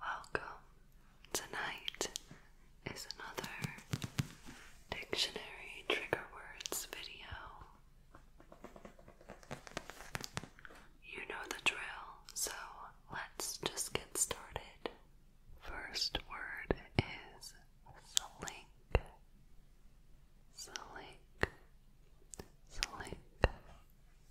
Welcome. Tonight is another dictionary trigger words video. You know the drill, so let's just get started. First word is slink. Slink. Slink.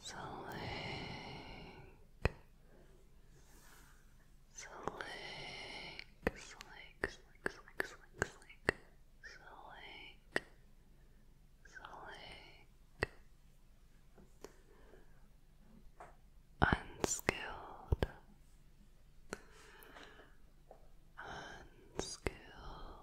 Slick. Slick, slick, slick, slick, slick, slick, slick, slick. Unskilled, unskilled,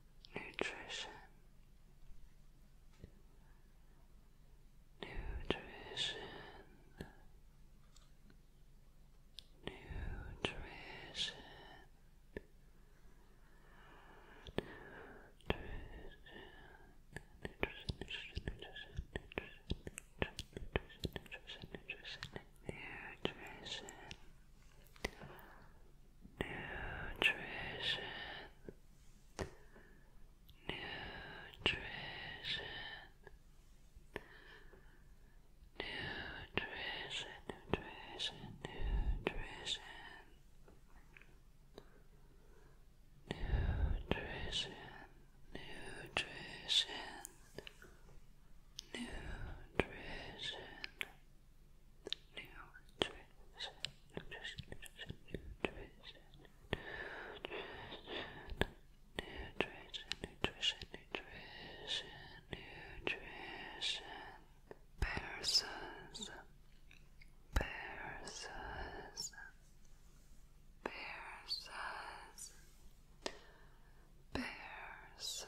nutrition, nutrition, nutrition, nutrition, nutrition, nutrition, nutrition, nutrition, nutrition, nutrition, nutrition nutrition, nutrition, nutrition, nutrition, nutrition. Nutrition, nutrition, nutrition, nutrition, nutrition, nutrition, nutrition, nutrition, nutrition, nutrition, nutrition, persons, persons, persons, persons.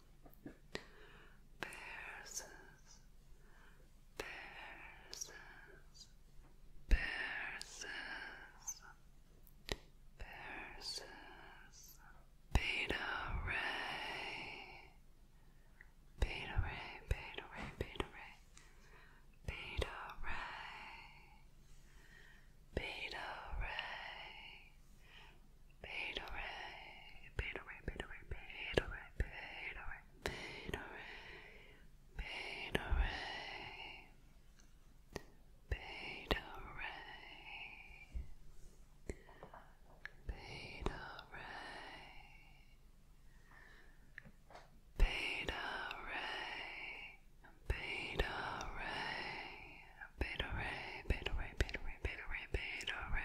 persons, persons, persons, persons, beta ray, beta ray, beta ray, beta ray, beta ray, beta ray. Fade away, fade away, fade away, fade away, fade away, fade away, fade away, fade away, fade away, fade away. Beta ray, beta ray, beta ray, beta ray, beta ray, beta ray,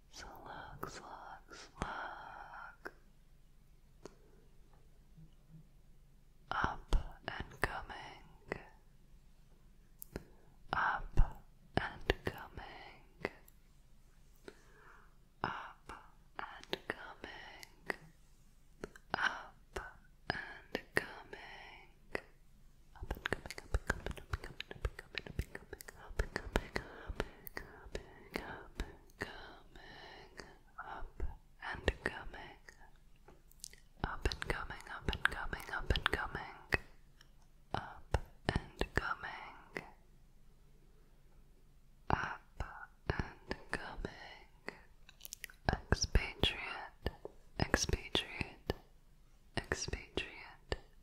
Slug, slug, slug. Up and coming. Up and coming. Up and coming. Up and coming, up and coming, up and coming, up and coming, up and coming, and coming, up and coming, up and coming, up and coming, up and coming, up and coming, expatriate, expatriate, expatriate,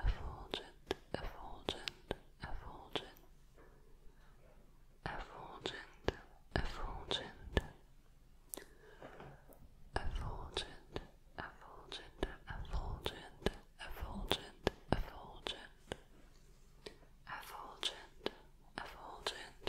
effulgent, effulgent, effulgent, effulgent, effulgent, effulgent, effulgent, effulgent, effulgent, effulgent, effulgent, effulgent, effulgent, effulgent,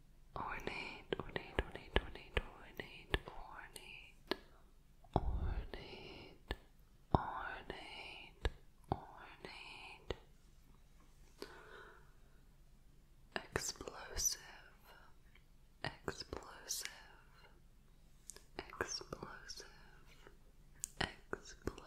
ornate, ornate, ornate, ornate, ornate, ornate, ornate, ornate, ornate, explosive, explosive, explosive, explosive, explosive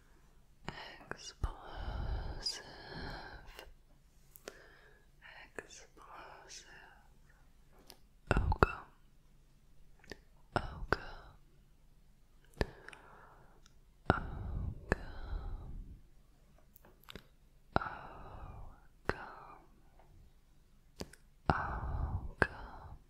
explosive, explosive, oka, oka, oka, oka, oka.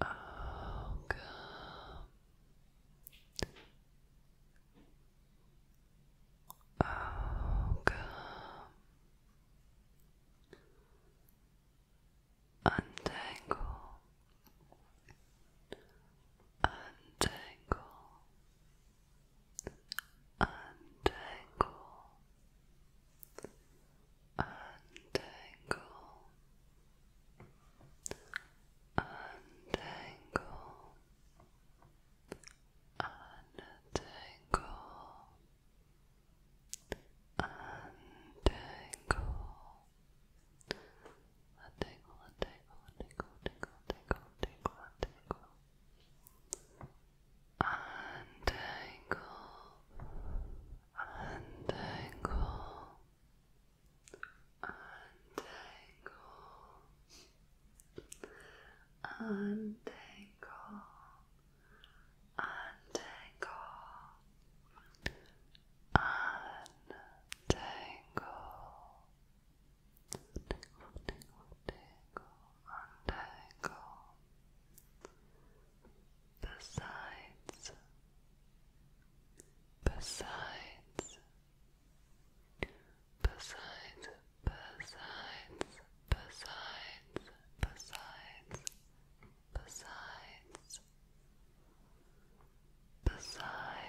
Oh, God. Oh, God. Untangle, untangle, untangle, untangle, untangle, untangle, untangle. A tingle, a tingle, a tingle, tingle, tingle, untangle, untangle, untangle, untangle, untangle. Untangle, tingle, tingle, tingle, untangle, besides, besides, besides, besides, besides, besides, besides, besides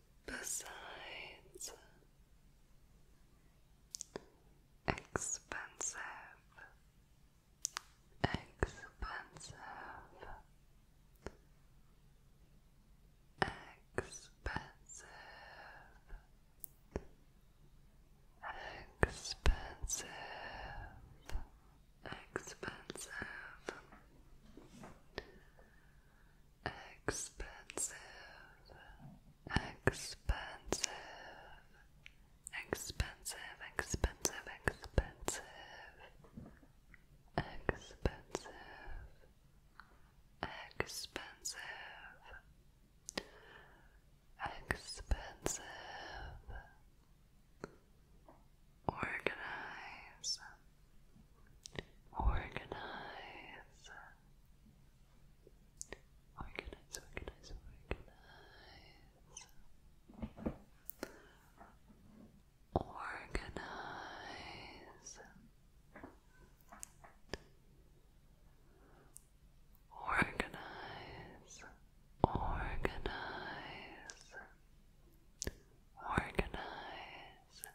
Besides, expensive, expensive, expensive, expensive, expensive. Expensive, expensive, expensive, expensive, expensive, expensive, expensive, expensive, organize. Organize. Organize, organize, organize. Organize. Organize. Organize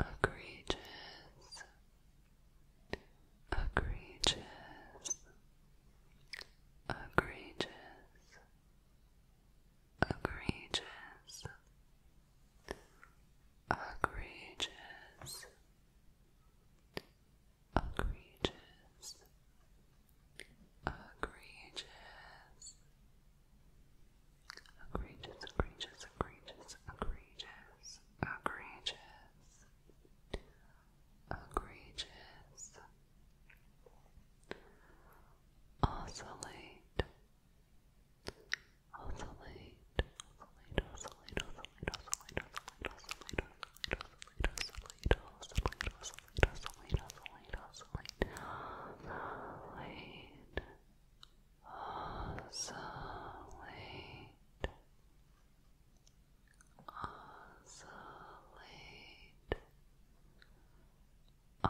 egregious, egregious, egregious, egregious, egregious, egregious, egregious, Egregious, egregious, egregious, egregious, egregious, egregious. Oscillate, oscillate, oscillate, oscillate, oscillate, oscillate, oscillate, oscillate, oscillate, oscillate, oscillate, oscillate, oscillate, oscillate, oscillate oscillate, oscillate, oscillate,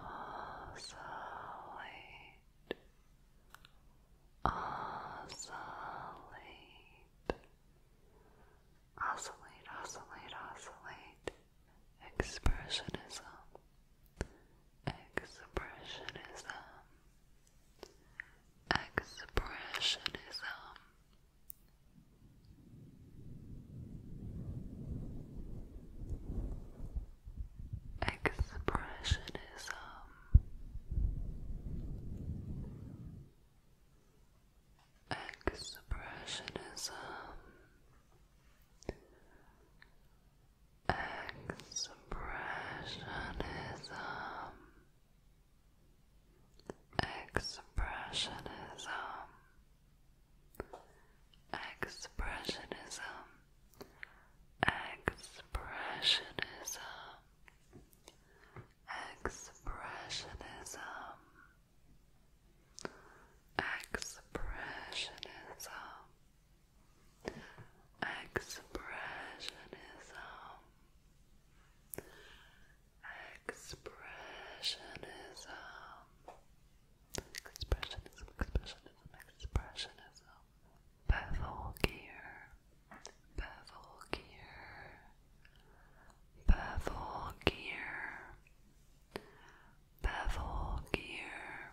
oscillate, oscillate, oscillate, oscillate, expressionism. Expressionism. Expressionism. Expressionism. Expressionism. Expressionism. Expressionism. Expressionism. Expressionism. Expressionism. Expressionism. Expressionism. Expressionism. Expressionism, expressionism, expressionism. Bevel gear. Bevel gear. Bevel gear. Bevel gear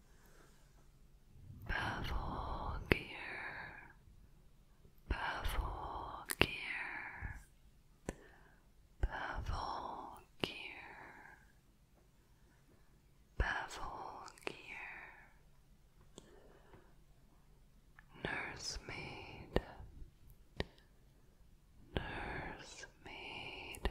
Bevel gear, bevel gear, bevel gear, bevel gear, nursemaid, nursemaid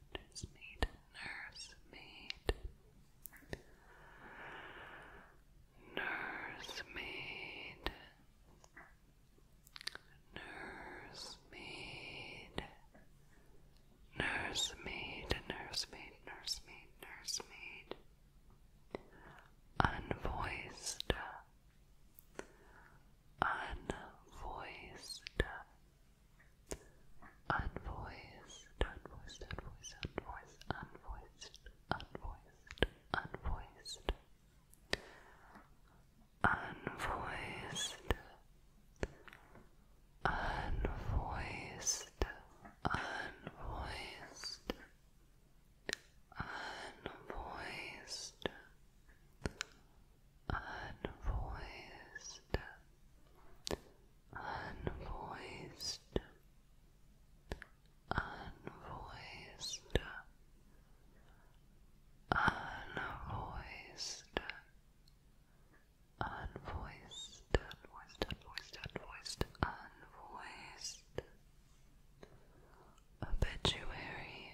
nursemaid, nursemaid, nursemaid, nursemaid, nursemaid, nursemaid, nursemaid, nursemaid, unvoiced, unvoiced. Unvoiced, unvoiced, unvoiced, unvoiced, unvoiced, unvoiced, unvoiced, unvoiced, unvoiced, unvoiced, unvoiced, unvoiced, unvoiced, unvoiced, unvoiced, unvoiced, unvoiced, unvoiced, unvoiced, unvoiced, obituary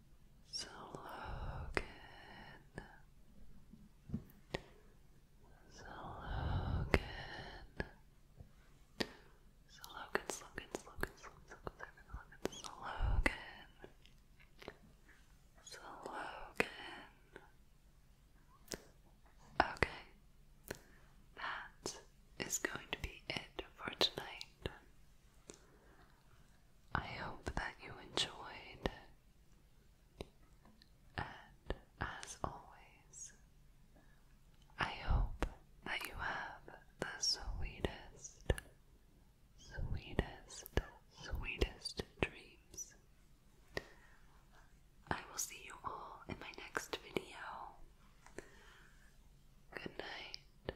so Logan, so Logan, so Logan, Logan, Logan, Okay, that is going to be it for tonight. I hope that you enjoyed. And as always, I hope that you have the sweetest, sweetest, sweetest dreams. I will see you all in my next video. Good night.